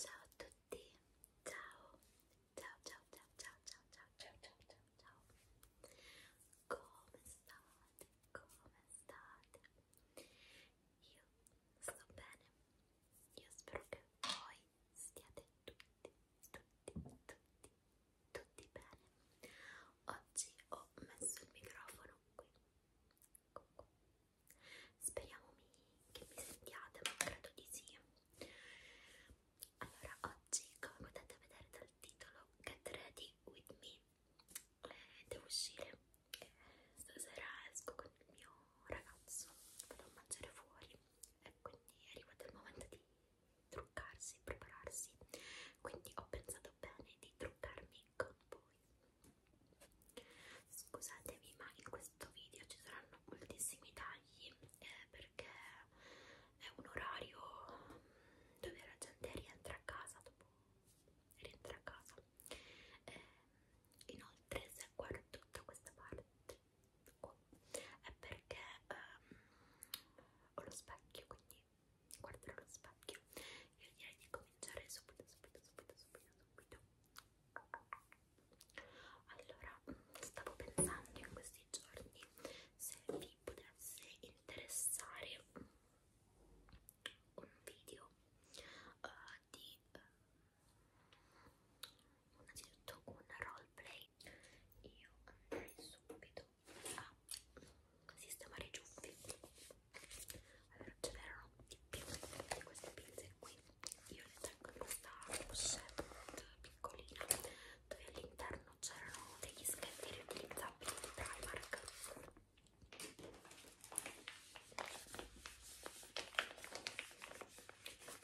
Ciao a tutti, ciao, ciao, ciao, ciao, ciao, ciao, ciao, ciao, ciao, ciao, ciao. Come state? Come state? Io sto bene, io spero che voi stiate tutti, tutti, tutti, tutti bene. Oggi ho messo il microfono qui Speriamo mi, che mi sentiate, ma credo di sì. Allora, oggi, come potete vedere dal titolo, Get Ready With Me, eh, devo uscire. Stasera esco con il mio ragazzo, vado a mangiare fuori e quindi è arrivato il momento di truccarsi, prepararsi. Quindi ho pensato bene di truccarmi con voi. Scusatevi, ma in questo video ci saranno moltissimi tagli eh, perché è un orario dove la gente rientra a casa dopo rientra a casa. Eh, inoltre, se guardo tutta questa parte qua è perché ehm, ho lo specchio, quindi guarderò lo specchio. Io direi di cominciare subito, subito, subito, subito, subito allora, stavo pensando in questi giorni se vi potesse interessare un video uh, di uh, innanzitutto un roleplay. Io andrei subito a sistemare i ciuffi allora ce n'erano più di queste pinze qui io le tengo in questa pochette piccolina dove all'interno c'erano degli schetti riutilizzabili di Primark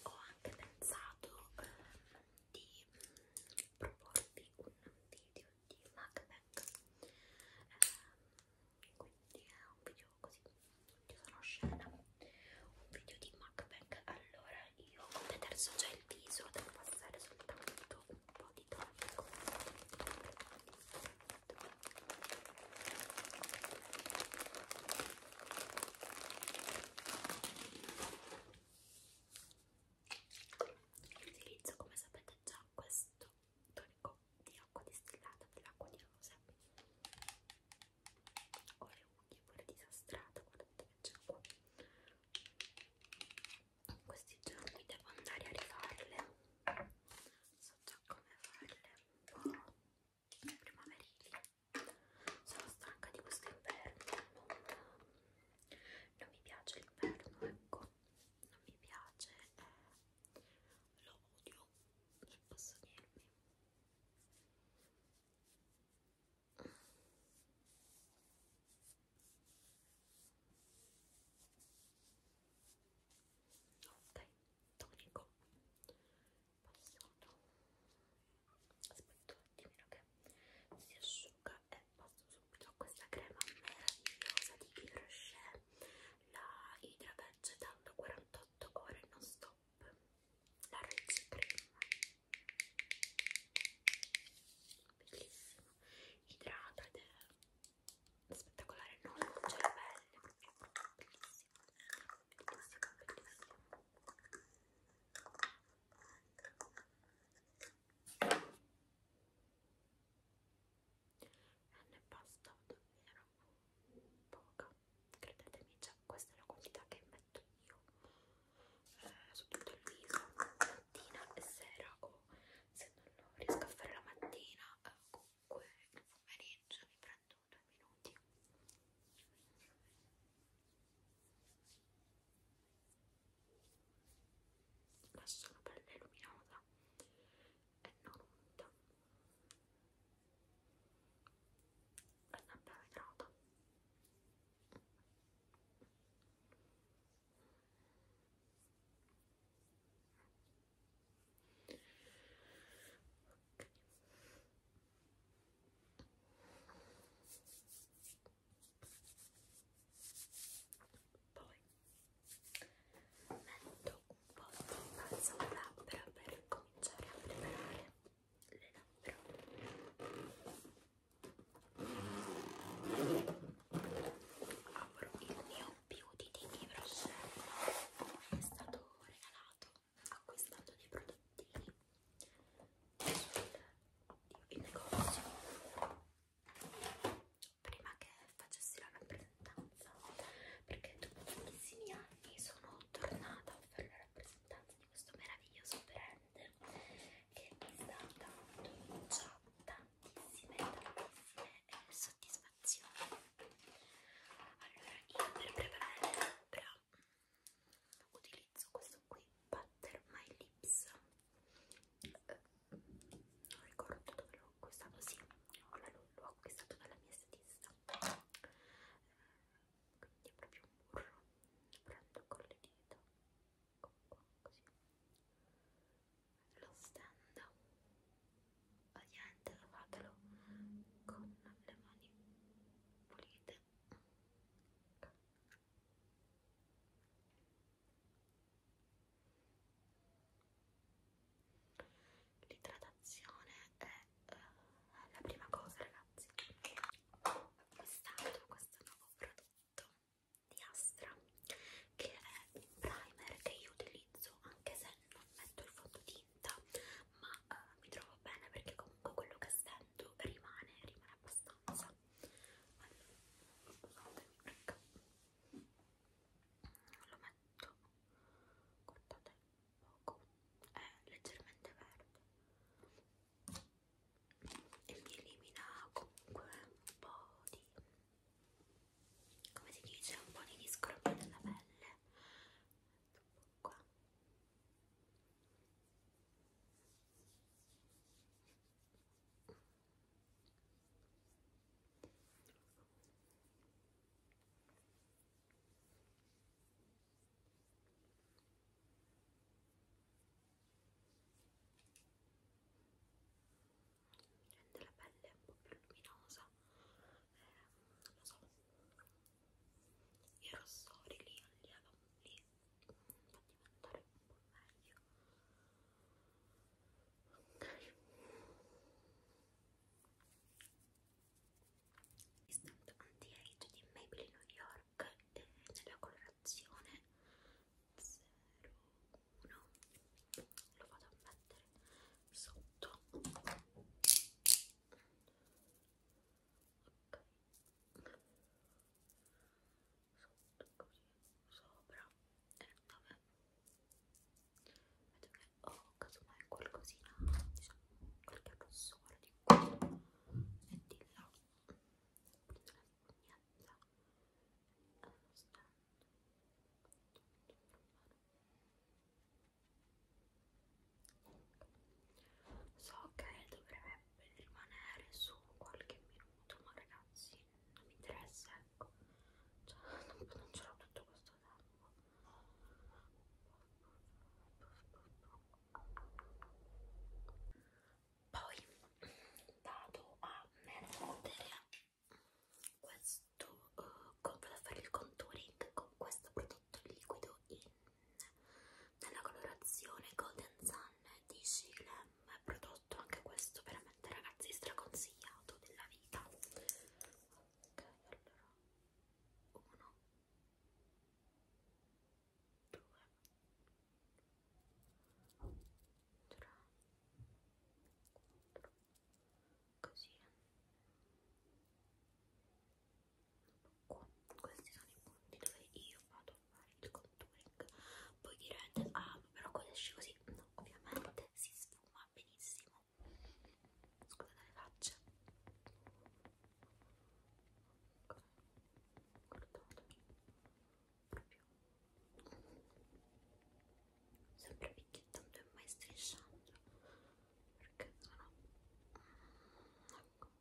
ho anche pensato ehm, di mm, proporvi un video di MacBack ehm, quindi è un video così io sono scena un video di MacBack allora io ho deterso già il viso devo passare soltanto un po' di tonico utilizzo come sapete già questo tonico di acqua distillata dell'acqua di rosa ho le unghie pure disastrate guardate che c'è qua in questi giorni devo andare a rifarle so già come farle un po' primaverili sono stanca di questo inverno non, non mi piace l'inverno ecco non mi piace eh, lo odio che posso dirvi? Ok, tonico. Passiamo. Aspetto un attimino che si asciuga e passo subito a questa crema meravigliosa di Yves Rocher, la Hydra Vegetal 40 48 ore non stop la Reds Cream bellissima idrata ed è spettacolare non c'è la pelle proprio bellissima bellissima bellissima e ne basta davvero poca credetemi cioè, questa è la quantità che metto io eh, su tutto il viso mattina e sera o se non riesco a fare la mattina eh, comunque nel pomeriggio mi prendo due minuti lascio la pelle luminosa another window. Another window. Okay. Boy, un po' di balsamo labbra per cominciare a preparare le labbra. Apro il mio Beauty Tiki Brush è stato regalato, acquistando dei prodottini il negozio prima che facessi la rappresentanza perché dopo tantissimi anni sono tornata a fare la rappresentanza di questo meraviglioso brand che mi sta dando già cioè, tantissime, tantissime eh, soddisfazioni. Allora, io per preparare le labbra utilizzo questo qui, Butter My Lips. Eh, non ricordo dove l'ho acquistato, sì, l'ho acquistato dalla mia statista rosa quindi è proprio un burro prendo con le dita come qua così lo stendo ovviamente lavatelo con le mani pulite L'idratazione è eh, la prima cosa ragazzi ho acquistato questo nuovo prodotto di Astra che è un primer che io utilizzo anche se non metto il fondotinta ma eh, mi trovo bene perché comunque quello che stendo rimane, rimane abbastanza allora, scusatemi perché ecco. lo metto guardate poco, è eh, leggermente verde e mi elimina comunque un po' di, come si dice, un po' di discropo della pelle qua rende la pelle un po' più luminosa eh, non lo so i rossori li allievo lì fa diventare un po' meglio ok Instant Anti-Age di Maybelline New York eh, nella colorazione 01 lo vado a mettere sotto ok sotto così sopra e eh, dove metto o oh, casomai qualcosina, diciamo, qualche rossore di qui e di là so che dovrebbe rimanere su qualche minuto ma ragazzi non mi interessa ecco cioè, non, non ce l'ho tutto questo tempo poi vado a mettere questo uh, vado a fare il contouring con questo prodotto liquido in nella colorazione Golden Sun di Shilem prodotto anche questo veramente ragazzi straconsigliato della vita ok allora 1 due, tre, quattro, così qua, questi sono i punti dove io vado a fare il contouring poi direte, ah però quando esce così, no, ovviamente si sfuma benissimo Scusate le facce. Guardate. Proprio. Sempre picchiettando e mai strisciando. Perché sono... Ecco. Ecco.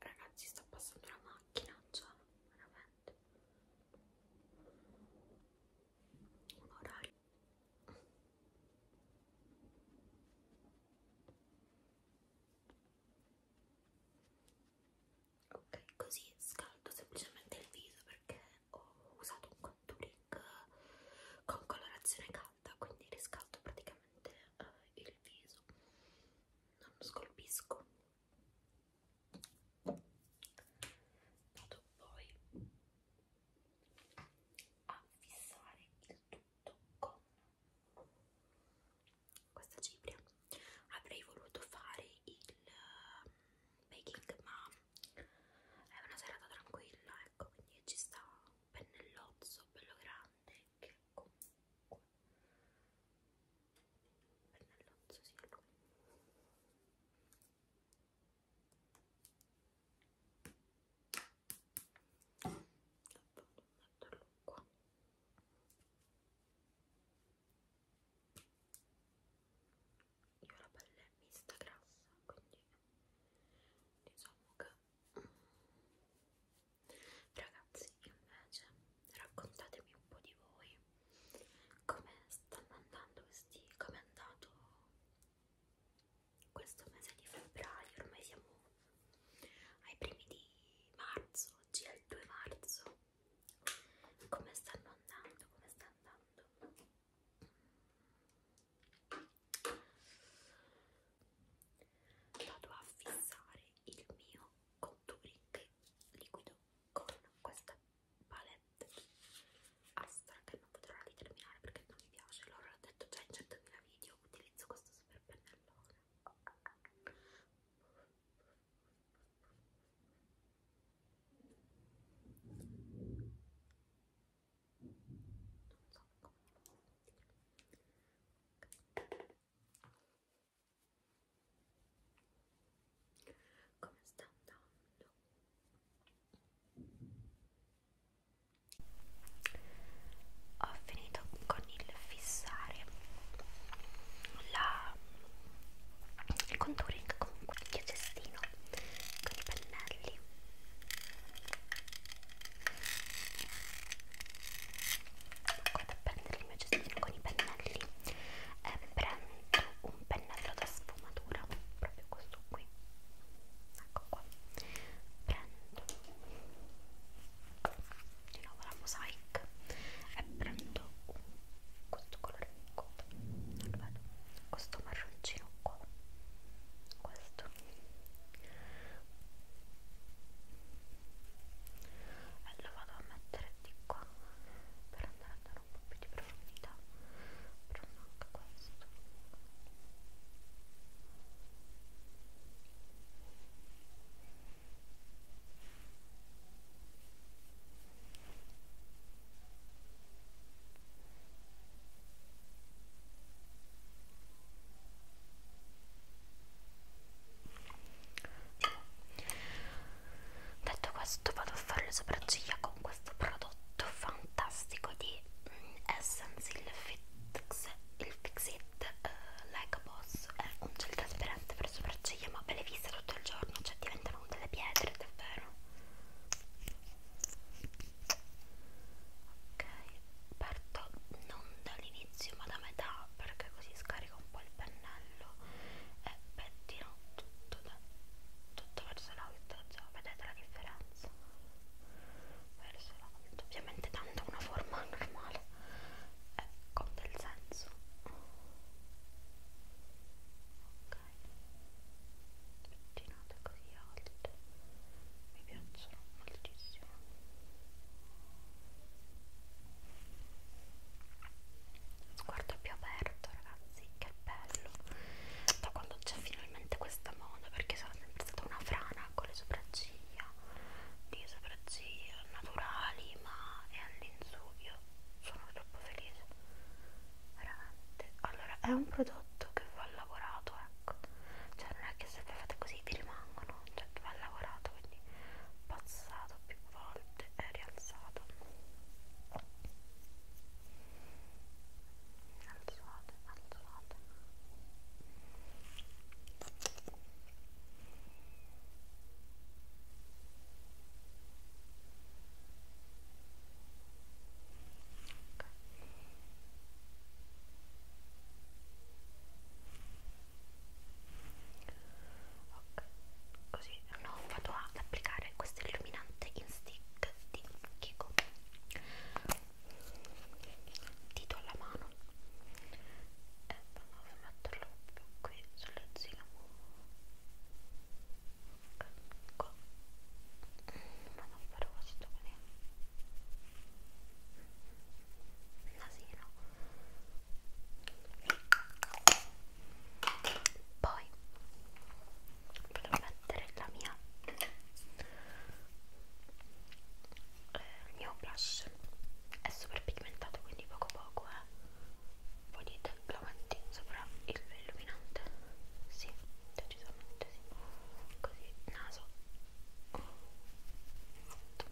Ragazzi sta passando la macchina già, cioè, veramente. Un orario ok così scaldo semplicemente il viso perché ho usato un contouring con colorazione calda quindi riscaldo praticamente eh, il viso non scolpisco vado poi a fissare il tutto con questa cipria avrei voluto fare il eh, baking ma è una serata tranquilla ecco quindi ci sta un pennellozzo bello grande che comunque pennellozzo sì è lui metterlo qua io ho la pelle mista grassa quindi diciamo che mm, ragazzi invece raccontatemi un po' di voi come stanno andando questi come è andato questo mese di febbraio ormai siamo ai primi di marzo oggi è il 2 marzo come stanno andando, come sta andando vado a fissare il mio contouring liquido con questa palette Astra che non potrò di terminare perché non mi piace allora l'ho detto già in 100.000 video utilizzo questo super pennellone come sta andando ho finito con il fissare la, il contouring comunque il cestino con i pennelli vado a prendere il mio cestino con i pennelli e eh, prendo un pennello da sfumatura proprio questo qui ecco qua prendo di nuovo la mosaic e prendo un questo colore qua non lo vedo questo marroncino qua questo e lo vado a mettere di qua per andare a dare un po' più di profondità prendo anche questo Detto questo vado a fare le sopracciglia con questo prodotto fantastico di mm, Essence, il Fix, il Fix It uh, eh, Like a Boss, è un gel trasparente per sopracciglia se io ma le vista tutto il giorno, cioè diventano delle pietre davvero. Ok, parto non dall'inizio ma da metà perché così scarico un po' il pennello e pettino tutto, da, tutto verso l'alto, cioè, vedete la differenza? Verso l'alto, ovviamente dando una forma normale è con ecco, del senso ok pettinate così alte mi piacciono moltissimo sguardo più aperto ragazzi che bello da quando c'è finalmente questa moda perché sono sempre stata una frana con le sopracciglia di sopracciglia naturali ma è all'insuglio sono troppo felice veramente allora è un prodotto che va lavorato ecco cioè non è che se voi fate così vi rimangono cioè va lavorato quindi passato più volte e rialzato alzate alzate Ok, così no, vado ad applicare questo illuminante in stick di Kiko. Dito alla mano e provo a metterlo qui sulla zona qua ma non però sto bene il nasino poi volevo mettere la mia eh, il mio blush è super pigmentato quindi poco poco eh Volete l'avanti sopra il illuminante? Sì, decisamente sì. Così, naso. Esatto.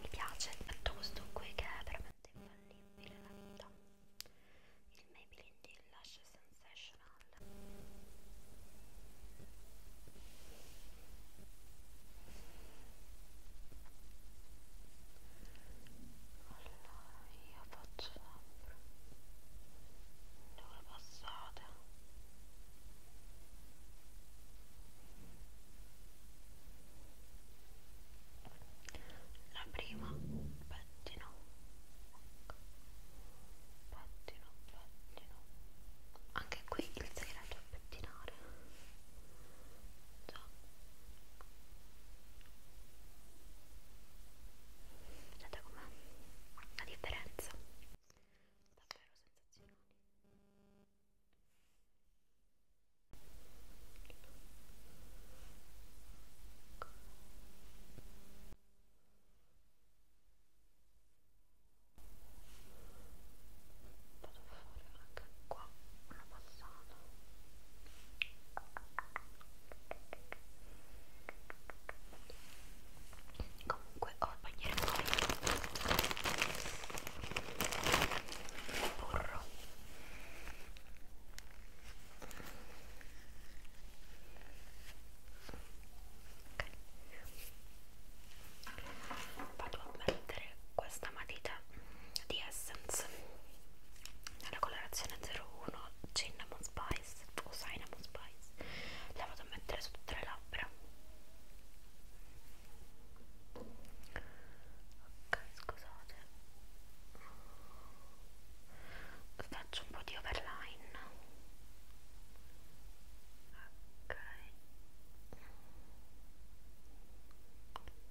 Mi piace, metto questo qui che è veramente infallibile la vita. Il Maybelline di Lash Sensational. Allora io faccio sempre due passate la prima pettino pettino pettino anche qui il segreto pettinare già vedete com'è la differenza davvero sensazionali ok vado a fare anche qua una passata comunque ho il bandiera fuori burro Okay vado a mettere questa matita di Essence nella colorazione 01 Cinnamon Spice o Cinnamon Spice la vado a mettere su tutte le labbra ok scusate faccio un po' di overline ok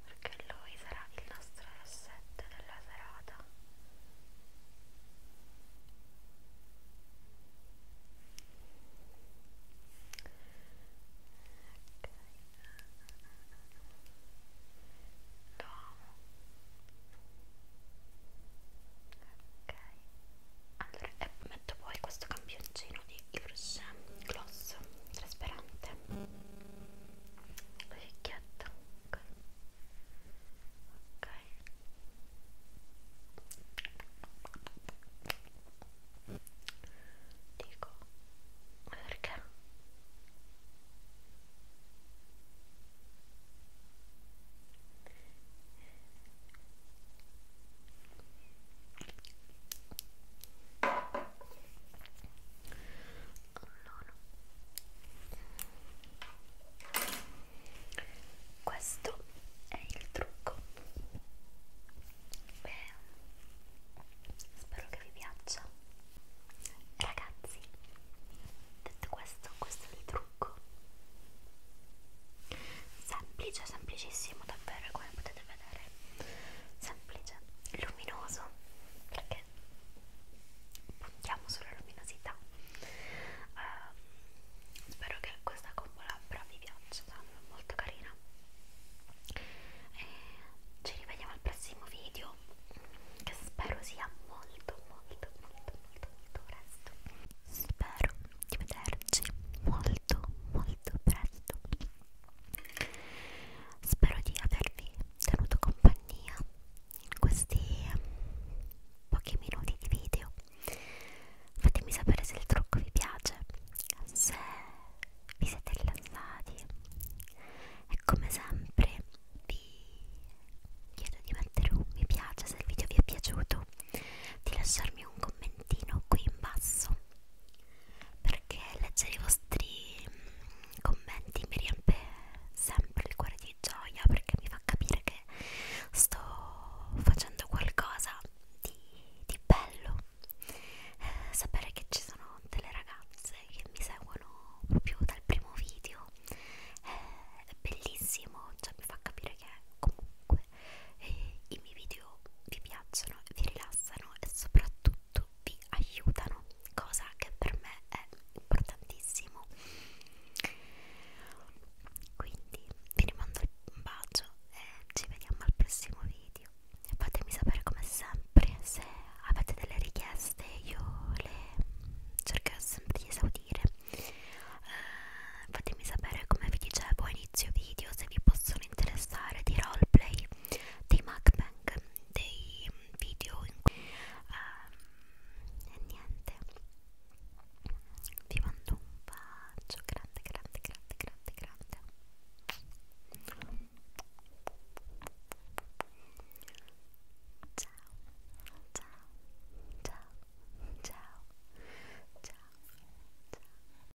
perché lui sarà il nostro asset della serata ok lo amo ok allora è metto poi questo campioncino di Rouge Gloss trasparente la ficchietta ok ok dico ma perché? Allora. Questo è il trucco. Beh, spero che vi piaccia. Ragazzi, detto questo, questo è il trucco. Semplice, semplicissimo davvero, come potete vedere vedere semplice, luminoso perché puntiamo sulla luminosità uh, spero che questa collabora vi piaccia è molto carina e ci rivediamo al prossimo video che spero sia molto molto molto molto molto presto spero di vederci molto molto presto, presto. Spero di avervi tenuto compagnia in questi pochi minuti di video. Fatemi sapere se il trucco vi piace, se vi siete rilassati e come sempre vi chiedo di mettere un mi piace se il video vi è piaciuto, di lasciarmi un commentino qui in basso perché leggere i vostri mm, commenti mi riempie sempre il cuore di gioia perché mi fa capire che sto facendo qualcosa di, di bello eh, sapere che ci sono delle ragazze che mi seguono proprio dal primo video eh, è bellissimo, cioè mi fa capire che comunque e I miei video vi piacciono, vi rilassano e soprattutto vi aiutano, cosa che per me è importantissimo. Quindi vi rimando un bacio e ci vediamo al prossimo video. Fatemi sapere come sempre se avete delle richieste, io le cercherò sempre di esaudire. Uh, fatemi sapere come vi dicevo a inizio video se vi possono possono interessare di roleplay, dei mukbang, dei video in cui... Uh, e niente, vi mando un bacio grande, grande, grande, grande, grande Ciao, ciao, ciao, ciao, ciao, ciao